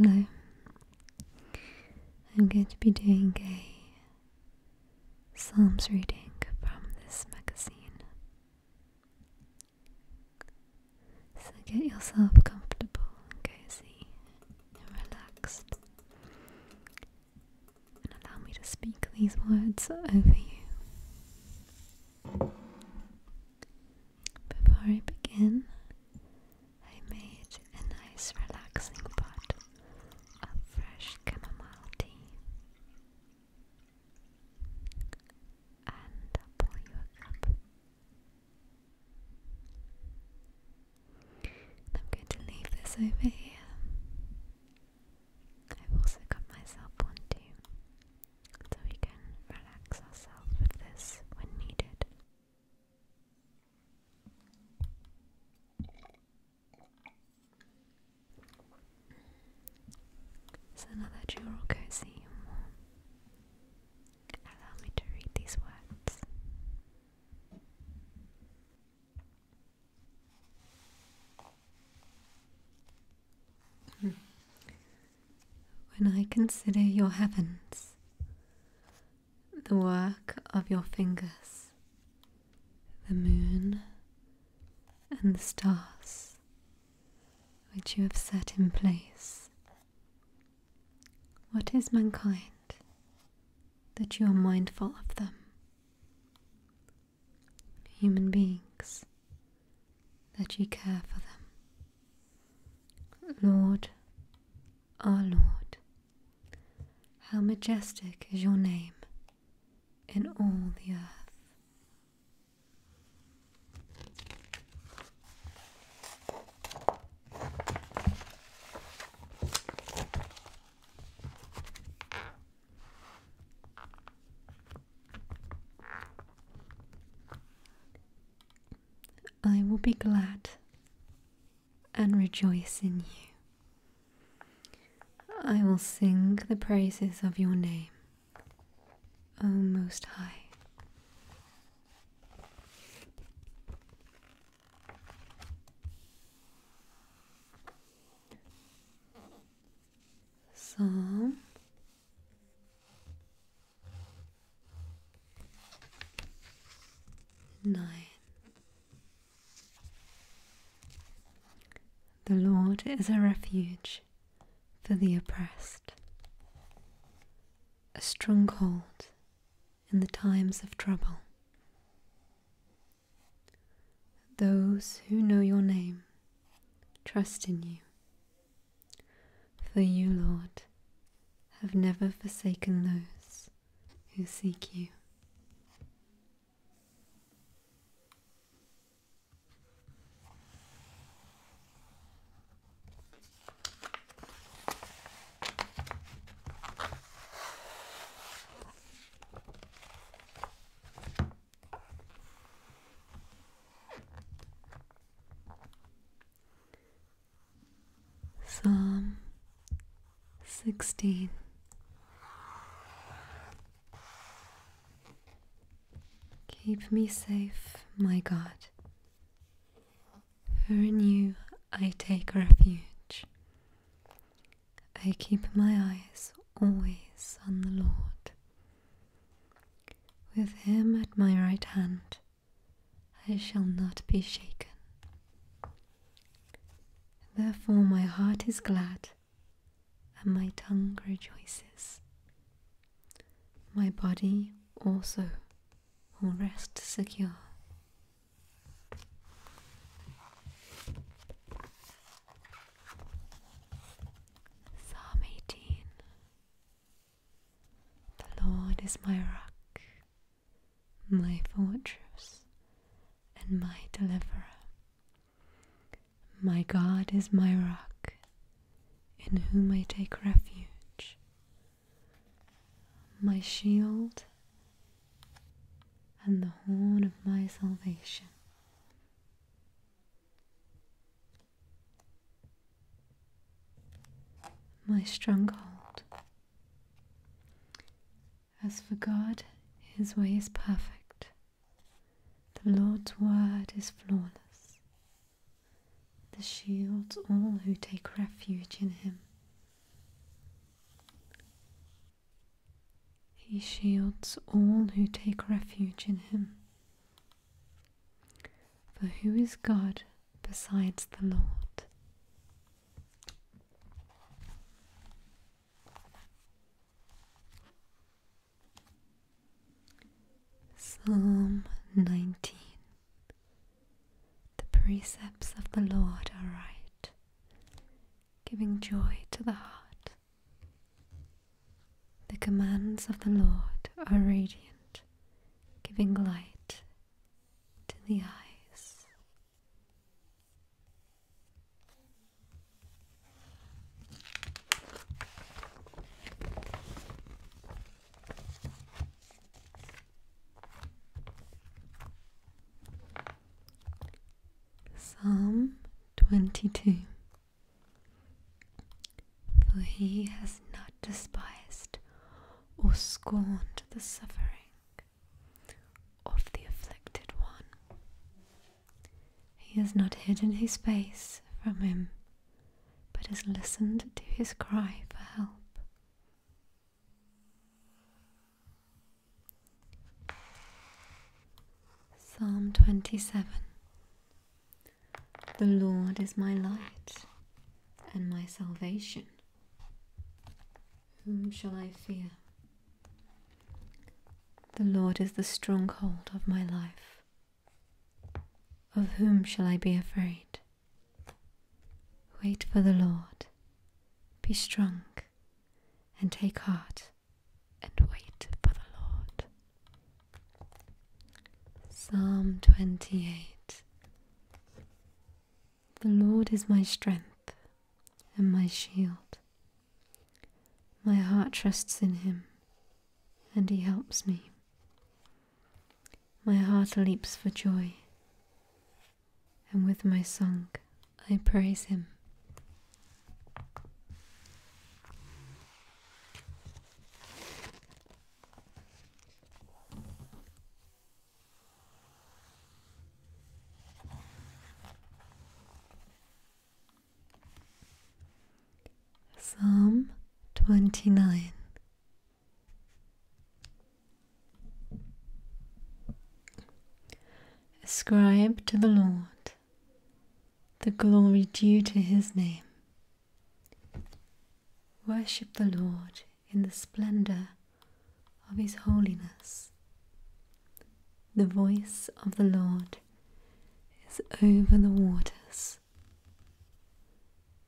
Hello. I'm going to be doing a Psalms reading from this magazine. So get yourself comfortable and cozy and relaxed. And allow me to speak these words over you. Before I begin, I made a nice relaxing pot of fresh chamomile tea. And I'll pour you a I'm going to leave this over here. I've also got myself one too, so we can relax ourselves with this when needed. It's another jewel cozy and warm. Allow me to read these words. Hmm. When I consider your heavens, the work of your fingers, the moon and the stars, which you have set in place. What is mankind that you are mindful of them? Human beings, that you care for them. Lord, our Lord, how majestic is your name in all the earth. I will be glad and rejoice in you. I will sing the praises of your name. Oh, Most High. Psalm nine. The Lord is a refuge for the oppressed, a stronghold in the times of trouble. Those who know your name trust in you, for you, Lord, have never forsaken those who seek you. Psalm 16 Keep me safe, my God. For in you I take refuge. I keep my eyes always on the Lord. With him at my right hand, I shall not be shaken. Therefore, my heart is glad and my tongue rejoices. My body also will rest secure. Psalm 18 The Lord is my rock, my fortress, and my deliverer my God is my rock, in whom I take refuge, my shield and the horn of my salvation. My stronghold. As for God, his way is perfect. The Lord's word is flawless. The shields all who take refuge in him. He shields all who take refuge in him. For who is God besides the Lord? Psalm 19 The precepts of the Lord are right, giving joy to the heart. The commands of the Lord are radiant, giving light to the eyes. Psalm 22 For he has not despised or scorned the suffering of the afflicted one. He has not hidden his face from him, but has listened to his cry for help. Psalm 27 The Lord is my light and my salvation. Whom shall I fear? The Lord is the stronghold of my life. Of whom shall I be afraid? Wait for the Lord, be strong, and take heart, and wait for the Lord. Psalm 28 The Lord is my strength and my shield. My heart trusts in him, and he helps me. My heart leaps for joy, and with my song I praise him. Psalm 29 Ascribe to the Lord the glory due to his name. Worship the Lord in the splendor of his holiness. The voice of the Lord is over the waters.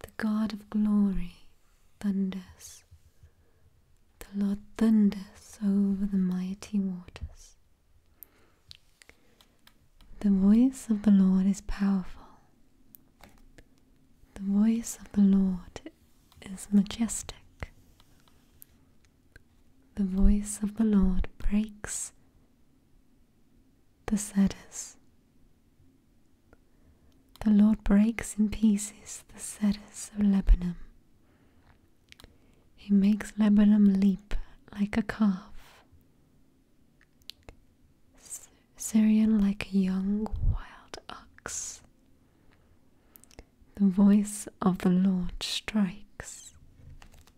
The God of glory thunders. The Lord thunders over the mighty waters. The voice of the Lord is powerful. The voice of the Lord is majestic the voice of the Lord breaks the cedars. The Lord breaks in pieces the cedars of Lebanon. He makes Lebanon leap like a calf, Syrian like a young wild ox. The voice of the Lord strikes with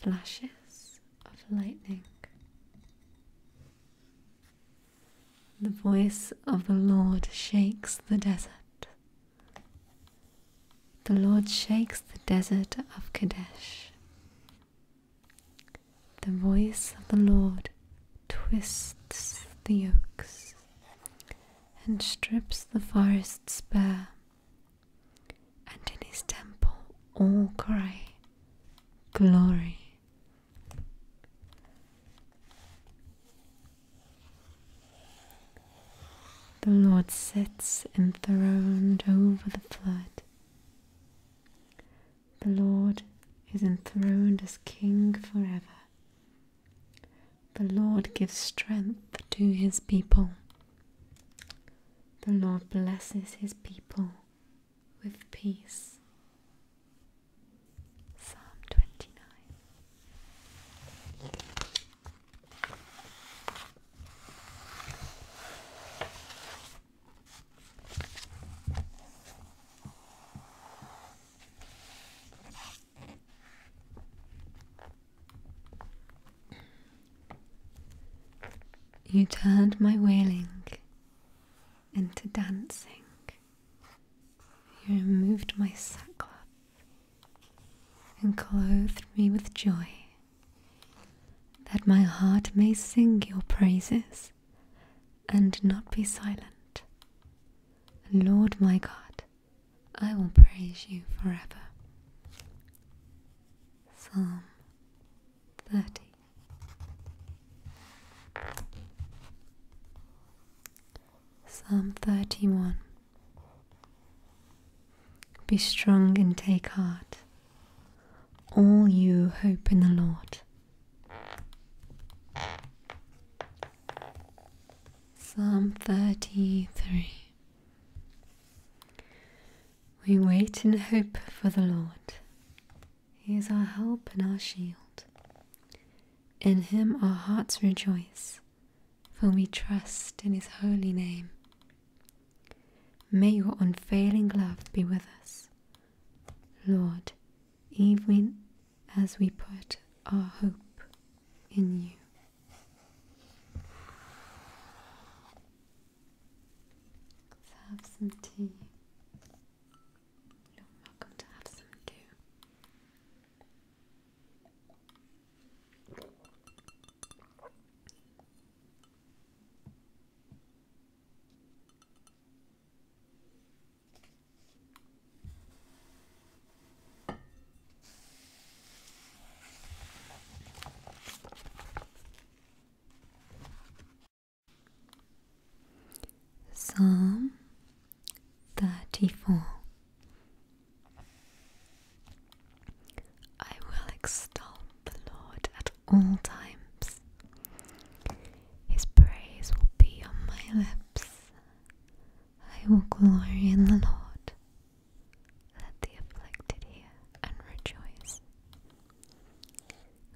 flashes of lightning. The voice of the Lord shakes the desert. The Lord shakes the desert of Kadesh. The voice of the Lord twists the oaks and strips the forest breast spare, and in his temple all cry, Glory. The Lord sits enthroned over the flood. The Lord is enthroned as King forever. The Lord gives strength to his people. The Lord blesses his people with peace. Psalm 29. You turned my wailing into dancing. You removed my sackcloth and clothed me with joy, that my heart may sing your praises and not be silent. Lord my God, I will praise you forever. Psalm 30 Psalm 31 Be strong and take heart, all you hope in the Lord. Psalm 33 We wait in hope for the Lord. He is our help and our shield. In him our hearts rejoice, for we trust in his holy name. May your unfailing love be with us, Lord, even, as we put our hope in you. Let's have some tea. You're welcome to have some too. Psalm 34 I will extol the Lord at all times. His praise will be on my lips. I will glory in the Lord. Let the afflicted hear and rejoice.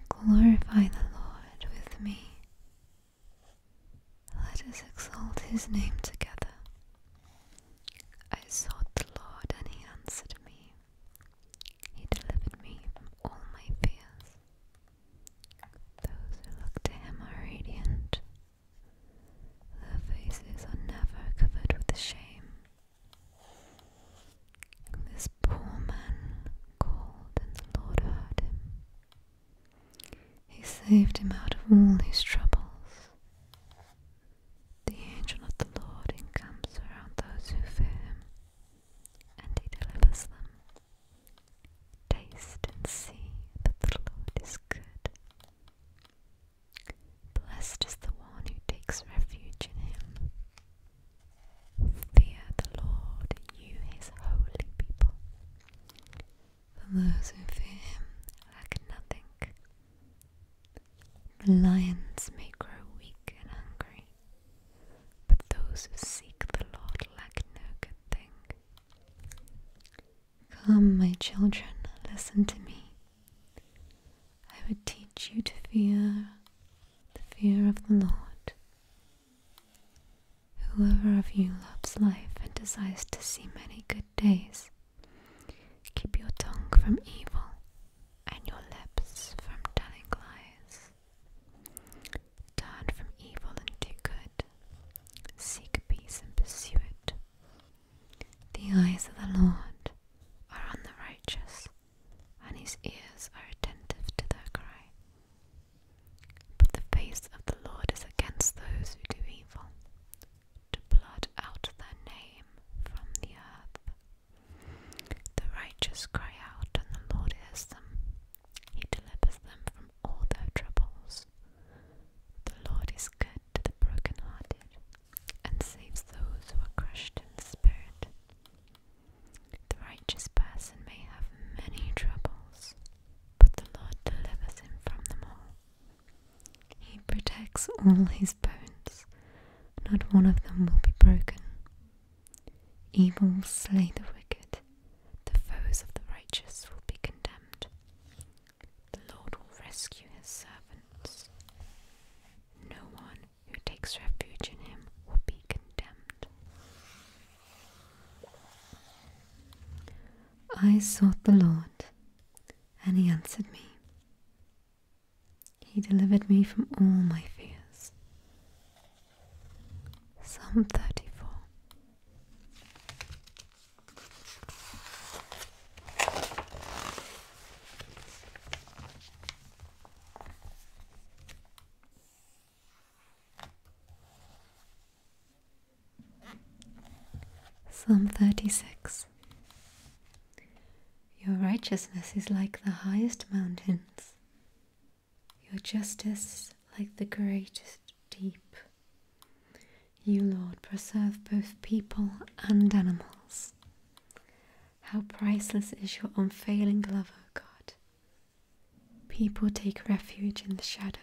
Glorify the Lord with me. Let us exalt his name together. I sought the Lord and he answered me. He delivered me from all my fears. Those who look to him are radiant. Their faces are never covered with shame. This poor man called and the Lord heard him. He saved him out of all his troubles. The angel of the Lord encamps around those who fear him, and he delivers them. Taste and see that the Lord is good. Blessed is the one who takes refuge in him. Fear the Lord, you his holy people. For those who fear him lack nothing. The lions may grow weak and hungry, but those who seek the Lord lack no good thing. Come, my children, listen to me. I would teach you to fear the fear of the Lord. Whoever of you loves life and desires to see many good days, keep your tongue from evil and your lips from telling lies. Turn from evil and do good. Seek peace and pursue it. The eyes of the Lord are on the righteous, and his ears are attentive to their cry. But the face of the Lord is against those who do evil, to blot out their name from the earth. The righteous cry out, and the Lord hears them. He delivers them from all their troubles. The Lord is good to the brokenhearted and saves those who are crushed in spirit. The righteous person may have many troubles, but the Lord delivers him from them all. He protects all his bones, not one of them will be broken. Evil will slay the wicked, the foes of the righteous will be condemned. The Lord will rescue his servants. No one who takes refuge in him will be condemned. I sought the Lord, and he answered me. He delivered me from all my fears. Psalm 34. Psalm 36 Your righteousness is like the highest mountains, your justice like the greatest deep. You, Lord, preserve both people and animals. How priceless is your unfailing love, O God! People take refuge in the shadow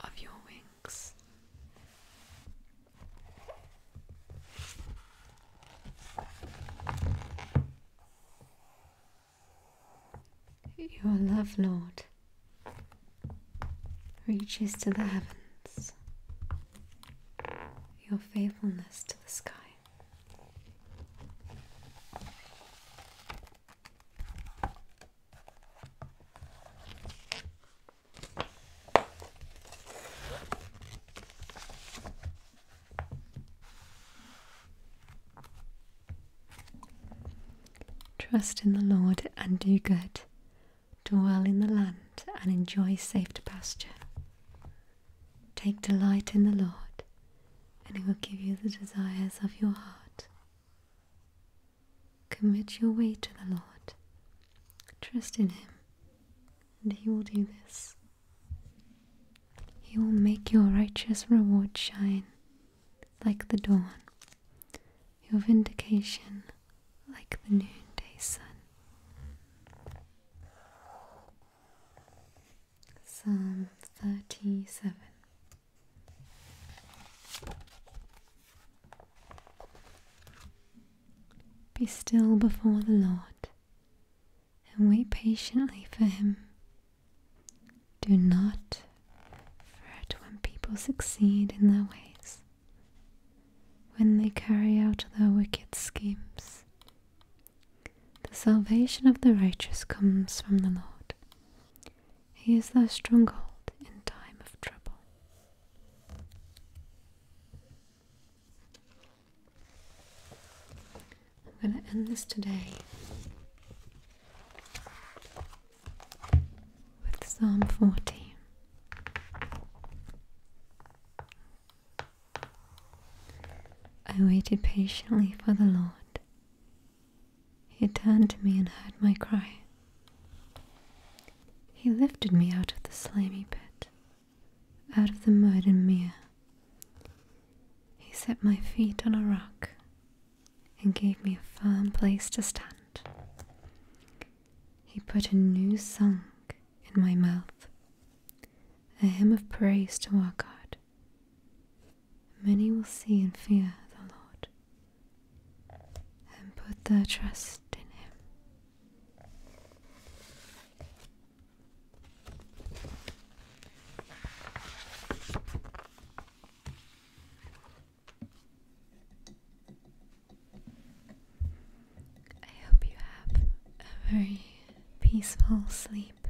of your wings. Your love, Lord, reaches to the heavens, your faithfulness to the sky. Trust in the Lord and do good. Dwell in the land and enjoy safe pasture. Take delight in the Lord, and He will give you the desires of your heart. Commit your way to the Lord. Trust in Him, and He will do this. He will make your righteous reward shine like the dawn, your vindication like the noonday sun. Psalm 37 Be still before the Lord and wait patiently for him. Do not fret when people succeed in their ways, when they carry out their wicked schemes. The salvation of the righteous comes from the Lord. He is their stronghold in time of trouble. I'm going to end this today with Psalm 40. I waited patiently for the Lord. He turned to me and heard my cry. He lifted me out of the slimy pit, out of the mud and mire. He set my feet on a rock and gave me a firm place to stand. He put a new song in my mouth, a hymn of praise to our God. Many will see and fear the Lord and put their trust in Him. I hope you have a very peaceful sleep,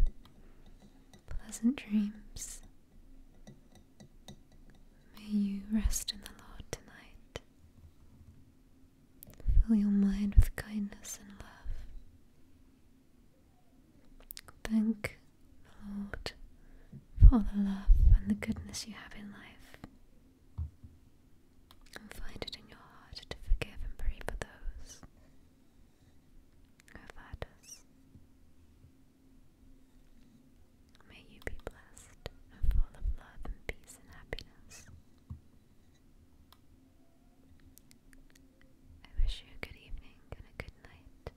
pleasant dreams. May you rest in the Lord tonight. Fill your mind with kindness and love. Thank the Lord for the love and the goodness you have in life, and find it in your heart to forgive and pray for those who hurt us. May you be blessed and full of love and peace and happiness. I wish you a good evening and a good night.